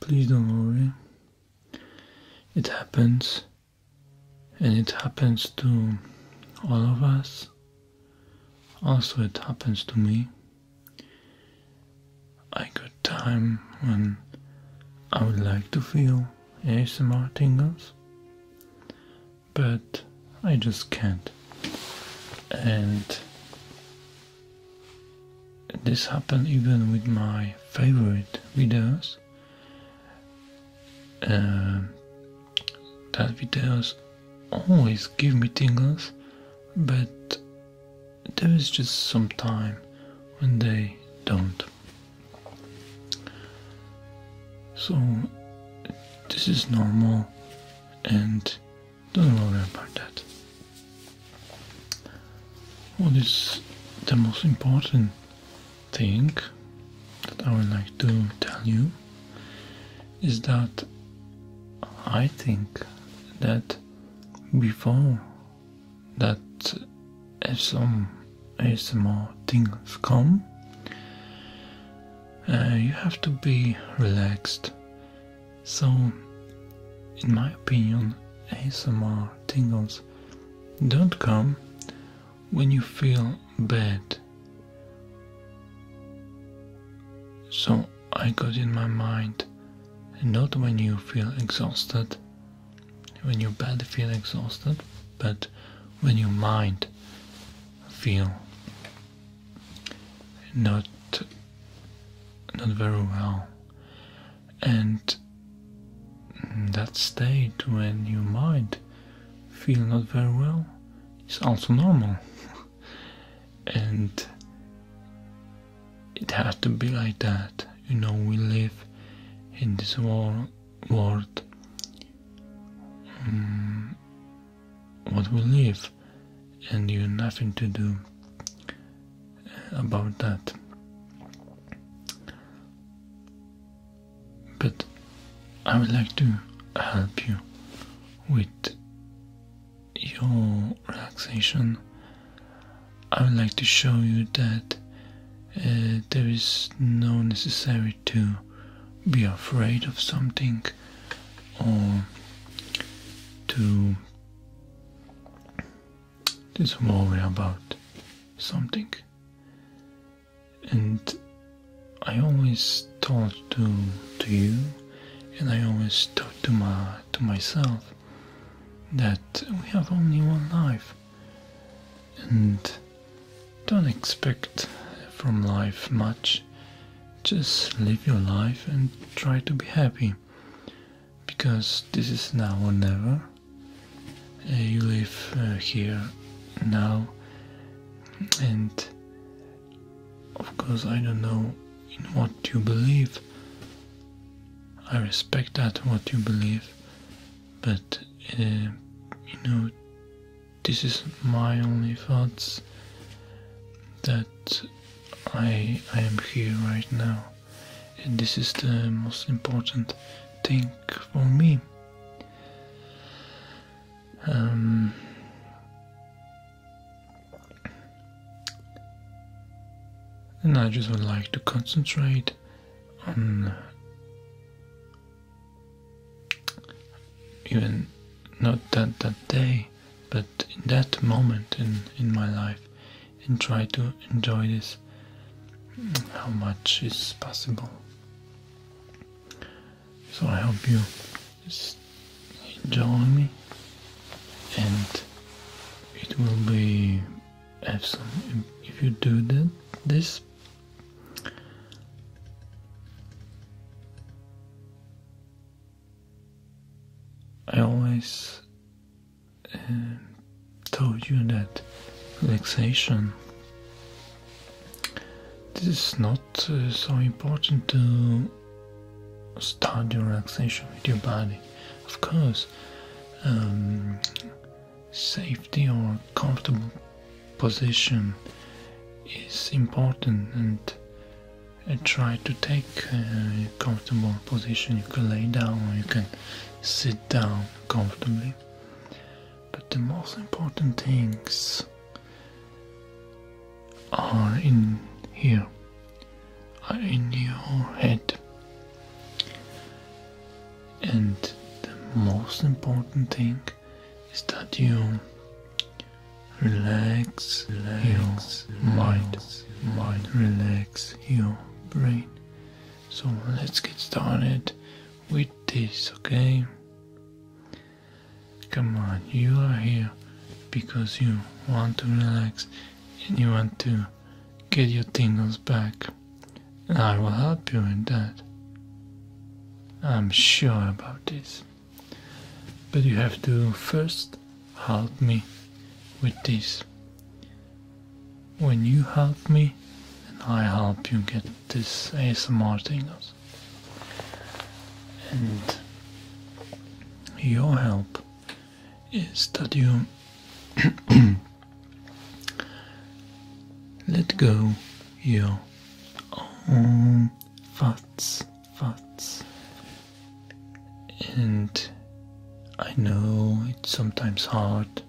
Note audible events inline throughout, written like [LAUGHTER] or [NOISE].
Please don't worry. It happens, and it happens to all of us. Also, it happens to me. I got time when I would like to feel ASMR tingles, but I just can't. And this happened even with my favorite videos um, that videos always give me tingles but there is just some time when they don't so this is normal and don't worry about that. What is the most important thing that I would like to tell you is that I think that before that if some ASMR things come, uh, you have to be relaxed so, in my opinion, ASMR tingles don't come when you feel bad. So I got in my mind, not when you feel exhausted, when you body feel exhausted, but when your mind feel not not very well and that state when you might feel not very well is also normal [LAUGHS] and it has to be like that you know we live in this wor world mm, what we live and you nothing to do about that. But I would like to help you with your relaxation. I would like to show you that uh, there is no necessary to be afraid of something or to this worry about something. And I always talk to to you and I always talk to my to myself that we have only one life and don't expect from life much. Just live your life and try to be happy because this is now or never. Uh, you live uh, here now, and of course, I don't know in what you believe. I respect that what you believe, but uh, you know, this is my only thoughts that I, am here right now, and this is the most important thing for me. Um, and I just would like to concentrate on even not that that day but in that moment in, in my life and try to enjoy this how much is possible. So I hope you just enjoy me and it will be awesome if you do that this I always uh, told you that relaxation this is not uh, so important to start your relaxation with your body. Of course, um, safety or comfortable position is important and try to take a comfortable position. You can lay down or you can sit down comfortably. But the most important things are in here, are in your head. And the most important thing is that you Relax, relax your mind, mind, relax your brain. So let's get started with this, okay? Come on, you are here because you want to relax and you want to get your tingles back. And I will help you in that. I'm sure about this. But you have to first help me with this. When you help me, and I help you get this ASMR tingles. And your help is that you [COUGHS] let go your own thoughts thoughts. And I know it's sometimes hard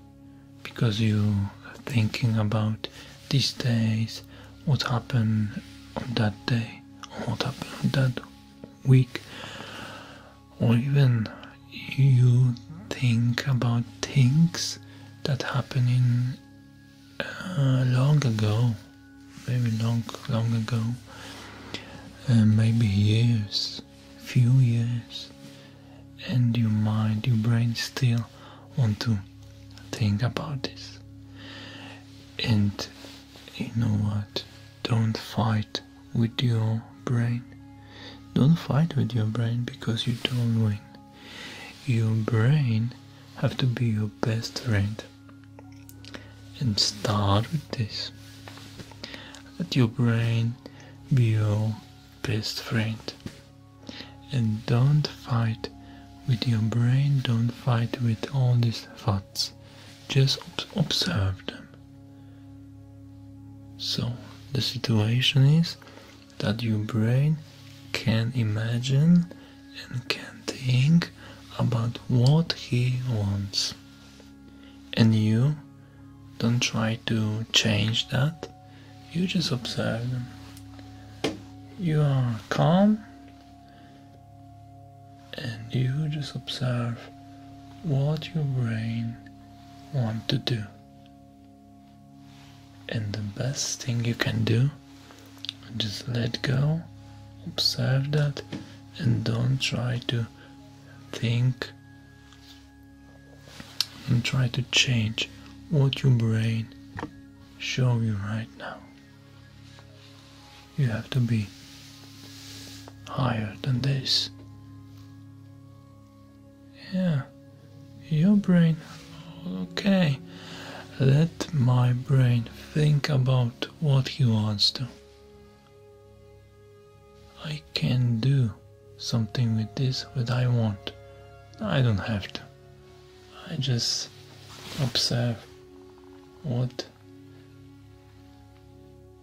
because you are thinking about these days, what happened on that day, what happened on that week, or even you think about things that happened in, uh, long ago. Maybe long, long ago, uh, maybe years, few years, and your mind, your brain still want to think about this. And you know what? Don't fight with your brain. Don't fight with your brain because you don't win. Your brain have to be your best friend and start with this. Let your brain be your best friend. And don't fight with your brain, don't fight with all these thoughts. Just observe them. So, the situation is that your brain can imagine and can think about what he wants and you don't try to change that you just observe them you are calm and you just observe what your brain want to do and the best thing you can do just let go observe that and don't try to think and try to change what your brain show you right now you have to be higher than this yeah your brain okay let my brain think about what he wants to I can do something with this what I want. I don't have to. I just observe what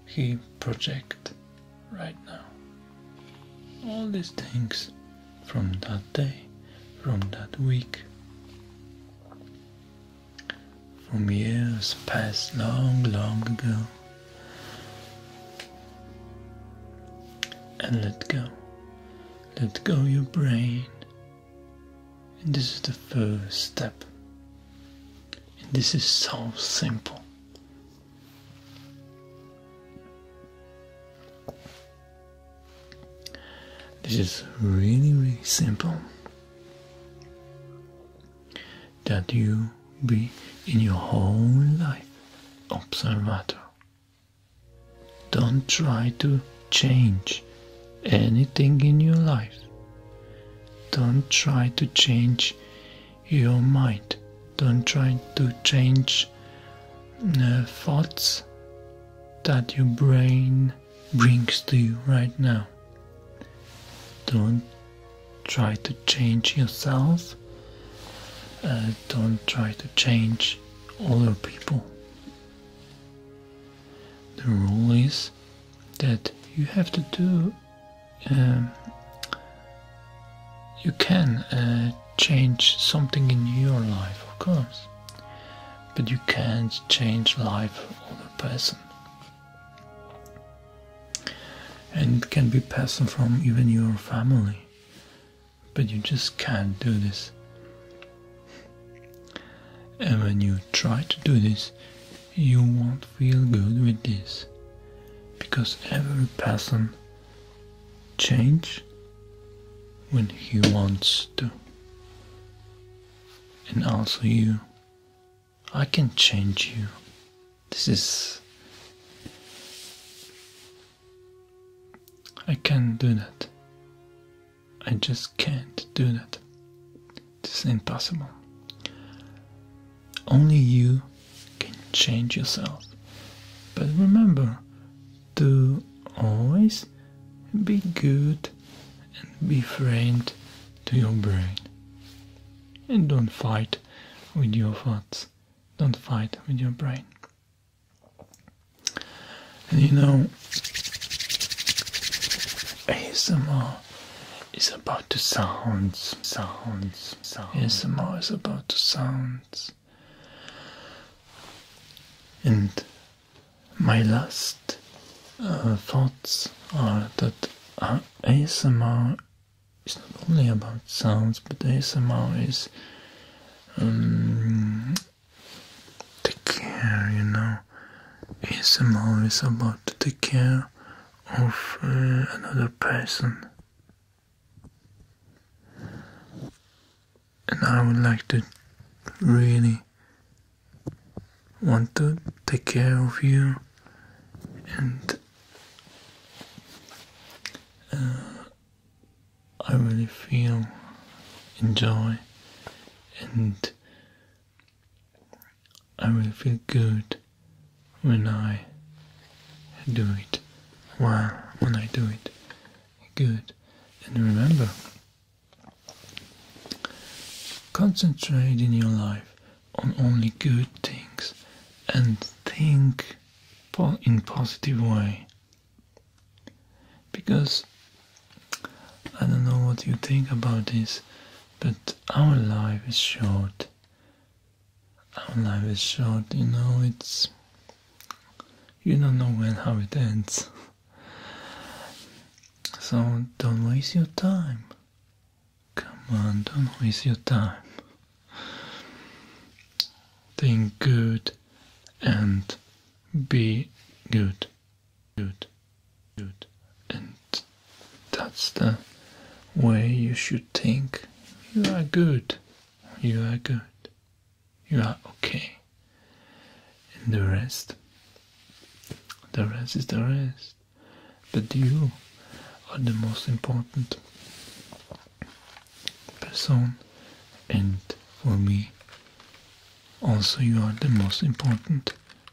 he project right now. All these things from that day, from that week, from years past long, long ago. And let go. Let go your brain. And this is the first step. And this is so simple. This is really, really simple that you be in your whole life observator. Don't try to change anything in your life. Don't try to change your mind. Don't try to change uh, thoughts that your brain brings to you right now. Don't try to change yourself. Uh, don't try to change other people. The rule is that you have to do, um, you can uh, change something in your life, of course, but you can't change life of other person and it can be passed from even your family but you just can't do this and when you try to do this you won't feel good with this because every person change when he wants to and also you I can change you. This is. I can't do that. I just can't do that. This is impossible. Only you can change yourself. But remember to always be good and be framed to your brain. And don't fight with your thoughts. Don't fight with your brain. And you know, ASMR is about to sounds, sounds, sounds. ASMR is about to sounds. And my last uh, thoughts are that uh, ASMR is not only about sounds, but ASMR is um, take care, you know. ASMR is about to take care of uh, another person. And I would like to really want to take care of you and uh, I really feel enjoy and I really feel good when I do it. Well, when I do it good. And remember, Concentrate in your life on only good things and think in positive way because I don't know what you think about this but our life is short our life is short you know it's you don't know when how it ends so don't waste your time Come on, don't waste your time. Think good and be good. Good. Good. And that's the way you should think. You are good. You are good. You are okay. And the rest? The rest is the rest but you are the most important person and for me also you are the most important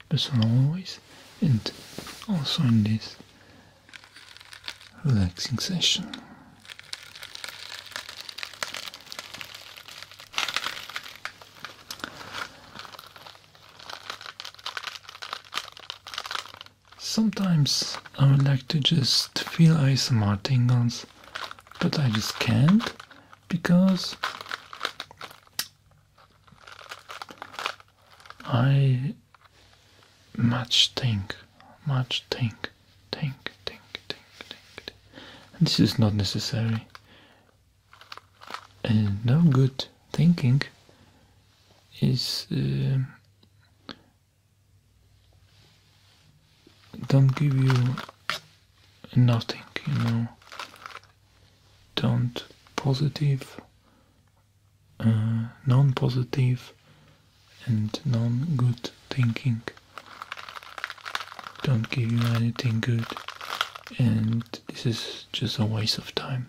person always and also in this relaxing session Sometimes I would like to just feel ASMR tingles, but I just can't because I much think, much think, think, think, think, think, think. this is not necessary and no good thinking is uh, don't give you nothing you know don't positive uh, non-positive and non-good thinking don't give you anything good and this is it's just a waste of time.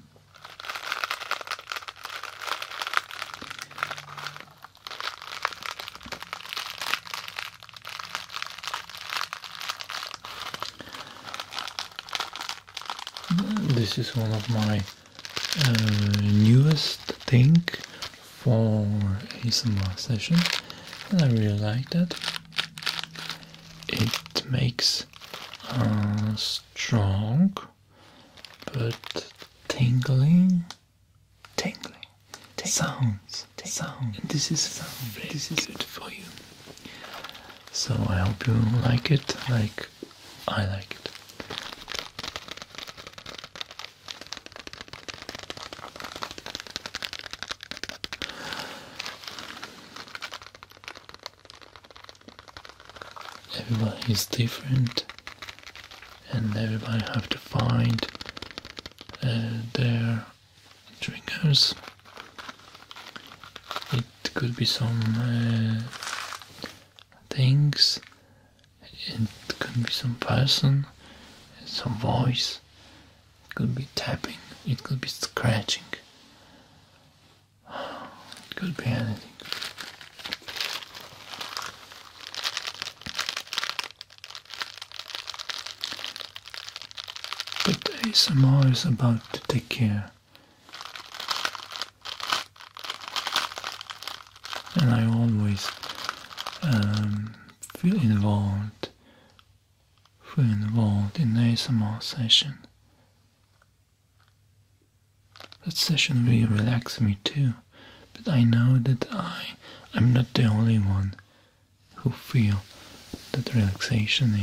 This is one of my uh, newest thing for ASMR session and I really like that. It makes strong but tingling, tingling, tingling sounds. This is sound. this is good for you. So I hope you like it, like I like it. Everybody is different, and everybody have to find uh, their triggers. It could be some uh, things, it could be some person, some voice, it could be tapping, it could be scratching could be anything. But ASMR is about to take care. And I always um, feel involved who involved in ASMR session. That session really relaxes me too, but I know that I am not the only one who feel that relaxation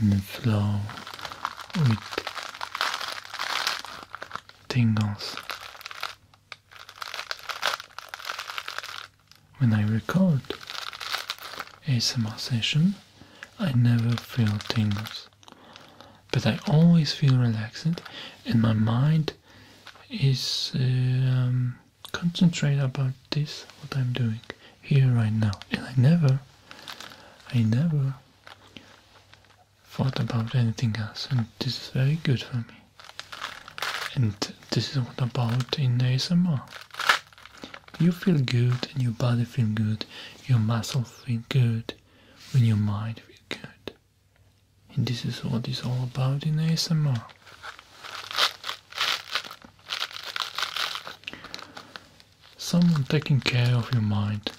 in the flow with tingles. When I record ASMR session, I never feel tingles, but I always feel relaxed, and my mind is um, concentrated about this, what I'm doing here right now. And I never, I never thought about anything else, and this is very good for me. And this is what about in ASMR. You feel good and your body feel good, your muscles feel good, when your mind feel good. And this is what it's all about in ASMR. Someone taking care of your mind.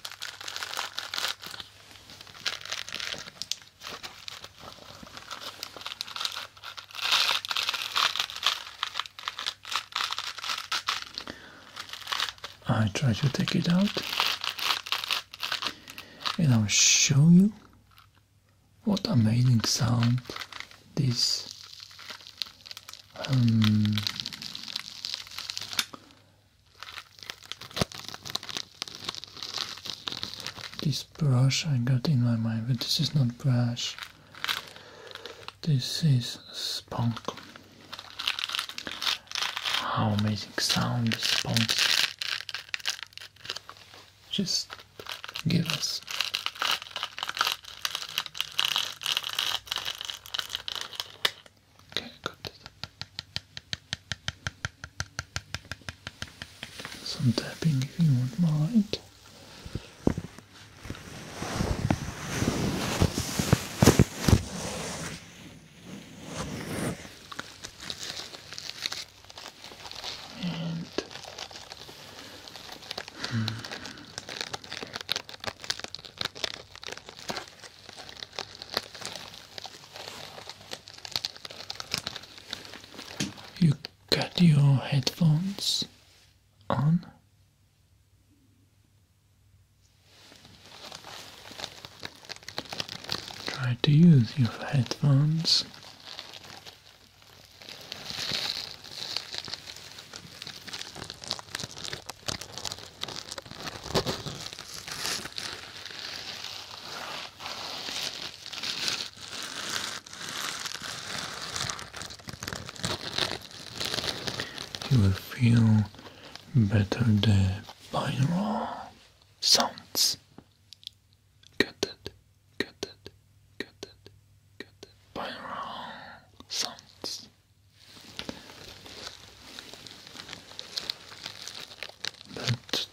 I try to take it out and I'll show you what amazing sound this um, this brush I got in my mind but this is not brush this is Spunk. How amazing sound Spunk. Just give us. Okay, got it. Some tapping if you won't mind you got your headphones on. Try to use your headphones you will feel better the binaural sounds. Got it, got it, got it, got it. Binaural sounds. But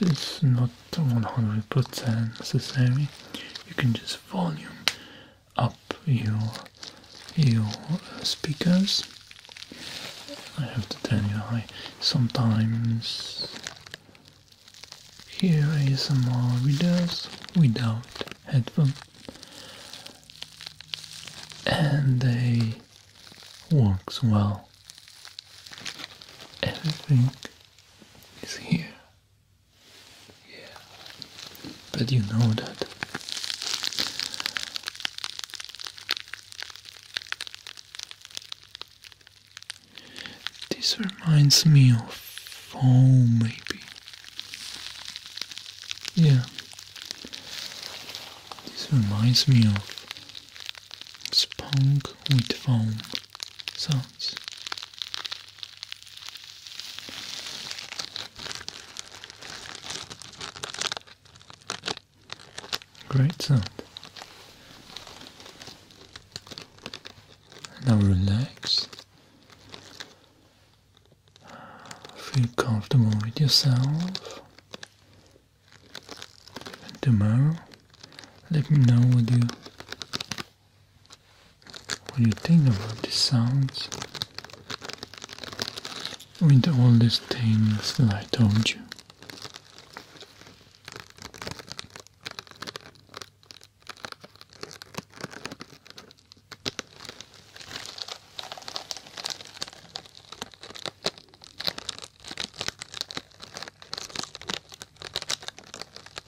it's not 100% necessary. You can just volume up your your speakers. I have to tell you, I sometimes hear more videos without headphones, and they works well. Everything is here yeah. But you know that. This reminds me of foam, maybe. Yeah. This reminds me of spunk with foam sounds. Great sound. Now relax. Feel comfortable with yourself. And tomorrow, let me know what you what do you think about these sounds, with all these things that I told you.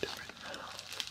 Different metal. Different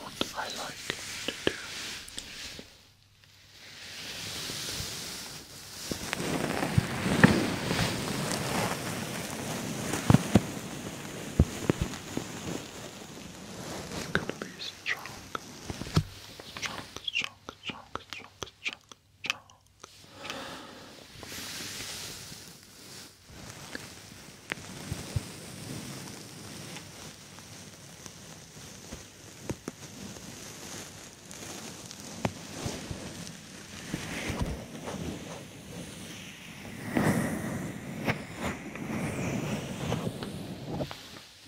what I like to do. You're gonna be strong, strong, strong, strong, strong, strong, strong.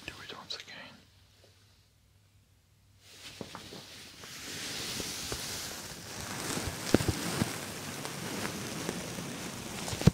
Do it once again.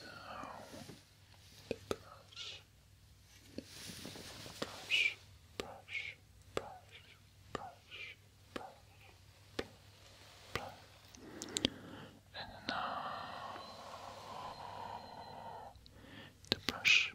Now, brush, brush, brush, brush, brush, brush, brush, brush. and now the brush.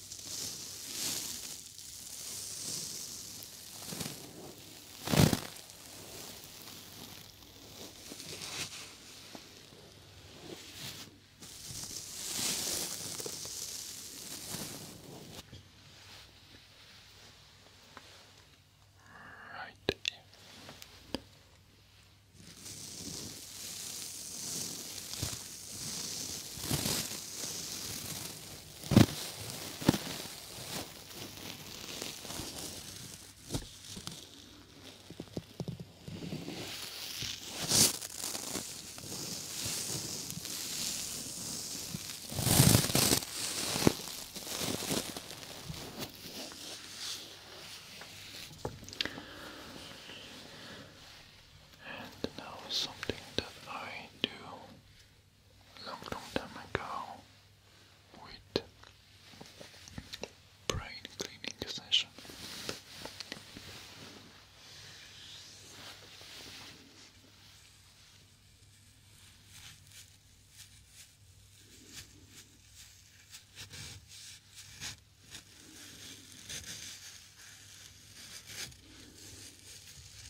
Right here. Right and now something that I do long, time ago with brain cleaning session.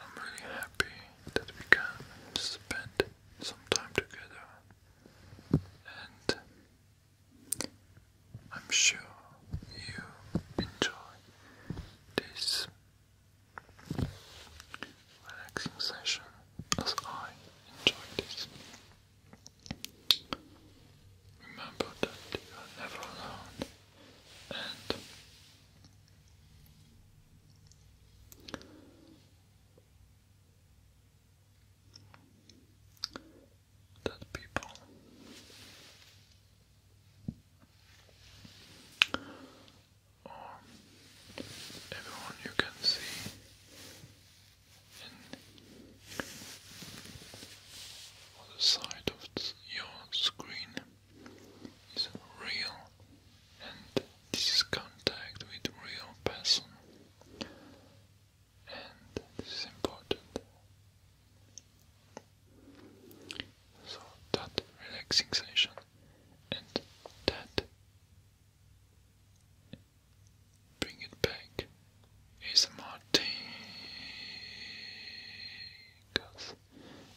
I'm really happy that we can spend some time together, and I'm sure you enjoy this relaxing session as I enjoy this. Remember that you are never alone and that people or um, everyone you can see on the side of your screen is real and this is contact with real person and this is important. So that relaxing session and that bring it back is a Martin.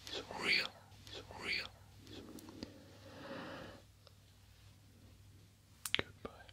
It's real. It's real. Goodbye.